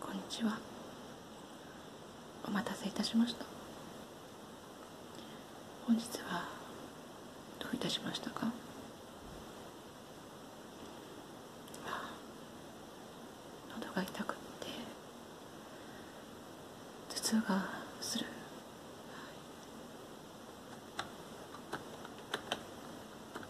こんにちはお待たせいたしました本日はどういたしましたか喉が痛くって頭痛がするはい、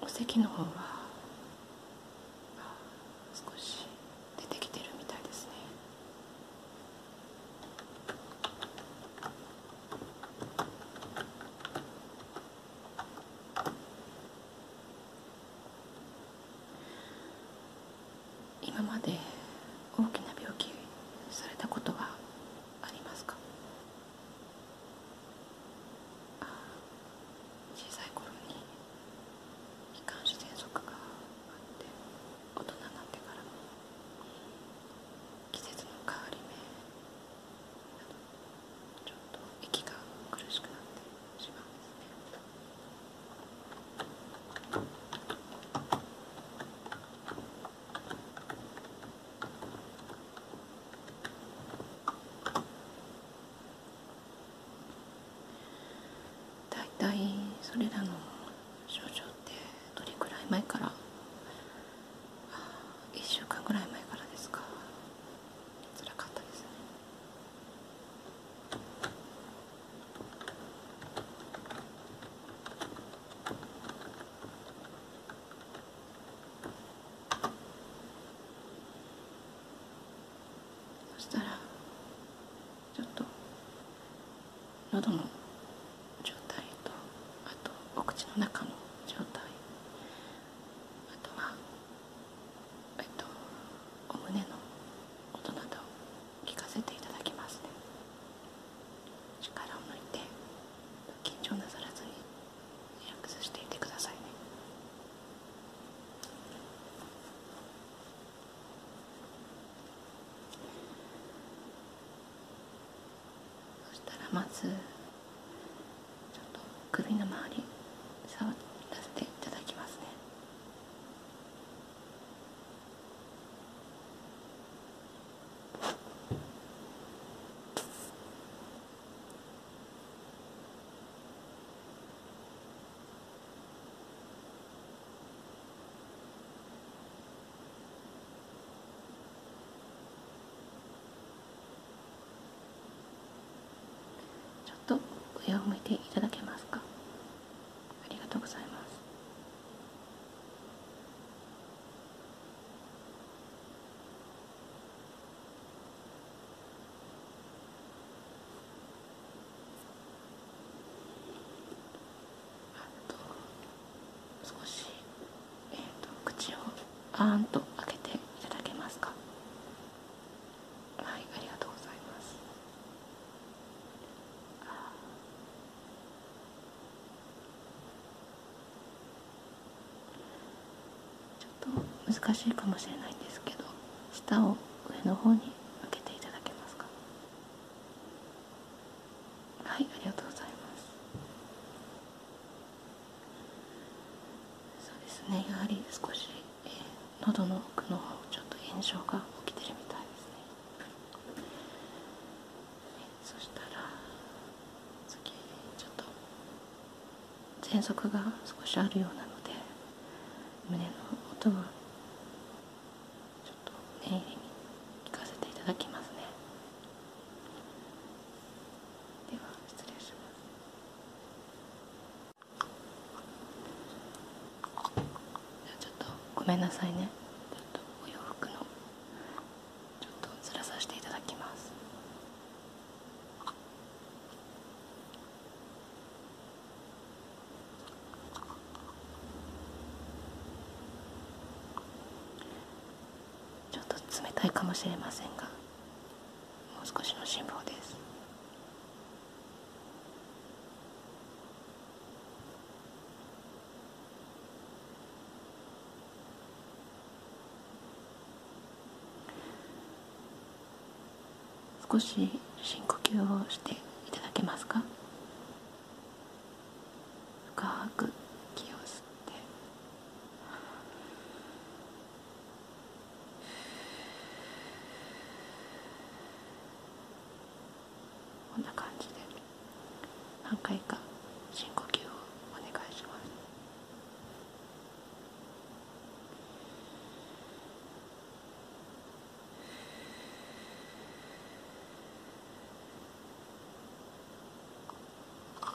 お席の方は少し出てきてるみたいですね今まで大きな病気されたことはありますか小さい頃に気管支喘息があって大人になってからも季節の変わり目などちょっと息が苦しくなってしまうんですね。だいたいそれらの症状ってどれくらい前から1週間ぐらい前からですか辛かったですねそしたらちょっと喉の状態とあとお口の中の状態あとはえっとお胸の音など聞かせていただきますね力を抜いて緊張なさらずにリラックスしていてくださいねそしたらまずちょっと首の周り触らせていただきますねちょっと上を向いていただけますかありがとうございます少し、口をあーんと開けていただけますかはいありがとうございますあちょっと難しいかもしれないんですけど下を上の方に向けていただけますかはいありがとうございますそうですねやはり少し、えー、喉の奥の方ちょっと炎症が起きてるみたいですねそしたら次ちょっと喘息が少しあるようなので胸の音はちょっと念入りに聞かせていただきますねでは失礼しますちょっとごめんなさいねちょっとお洋服のちょっとずらさせていただきますちょっと冷たいかもしれませんがもう少しの辛抱です少し深呼吸をしていただけますか深く息を吸ってこんな感じで何回か深呼吸をお願いしますあ。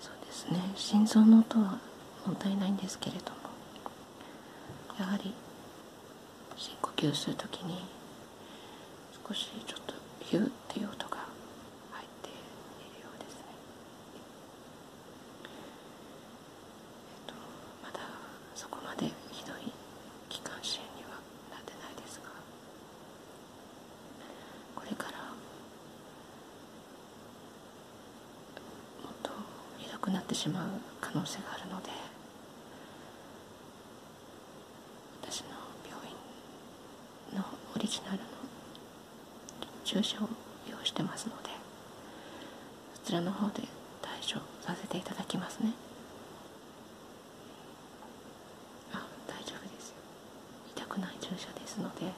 そうですね心臓の音はもったいないんですけれどもやはり深呼吸するときに少しちょっとゆーっていう音が入っているようですね、えっと、まだそこまでひどい気管支炎にはなってないですがこれからもっとひどくなってしまう可能性があるので私の病院のオリジナルの注射を用意してますのでそちらの方で対処させていただきますねあ大丈夫ですよ痛くない注射ですので、はい、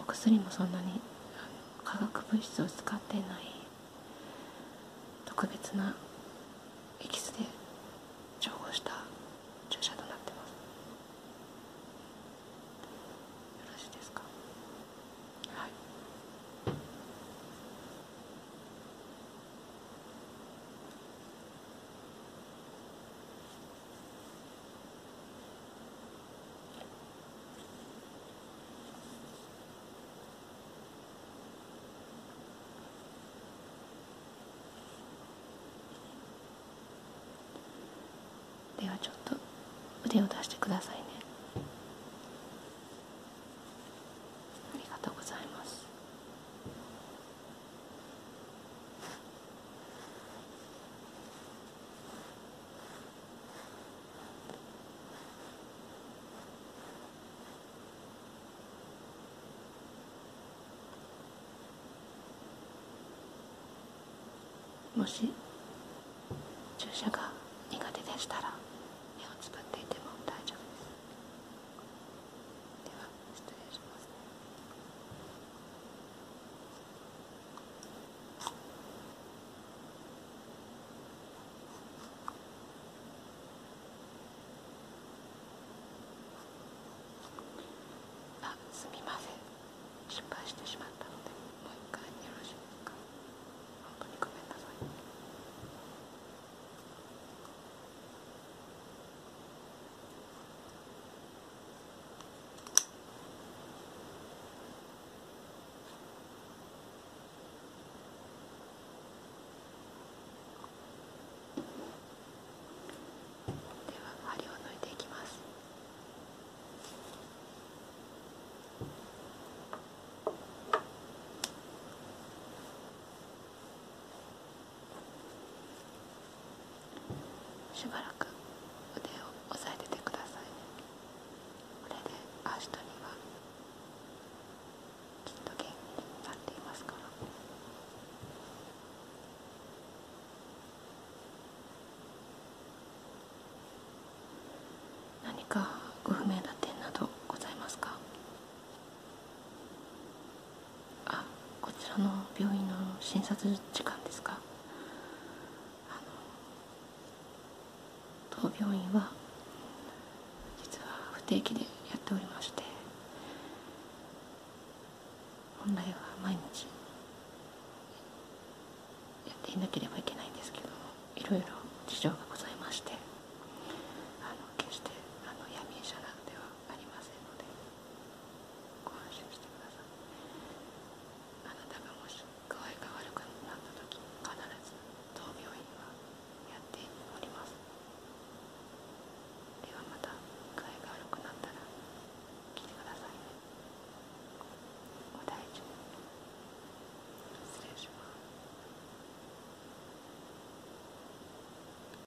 お薬もそんなに化学物質を使ってない特別なエキスで調合した注射となってますよろしいですかはいではちょっと腕を出してくださいねありがとうございますもし注射が苦手でしたら目をつぶっていても大丈夫ですでは失礼しますねあすみません失敗してしまったのでもう一回よろしいですか本当にごめんなさい。では、針を抜いていきます。しばらく腕を押さえててくださいねこれでアシトにはきっと元気になっていますから何かご不明な点などございますかあこちらの病院の診察時間ですか当病院は実は不定期でやっておりまして本来は毎日やっていなければいけないんですけどいろいろ事情がございましてあの決してあの闇医者などではありませんので。ご安心してくださいあなたがもし具合が悪くなった時必ず当病院はやっておりますではまた具合が悪くなったら来てくださいねお大事に失礼します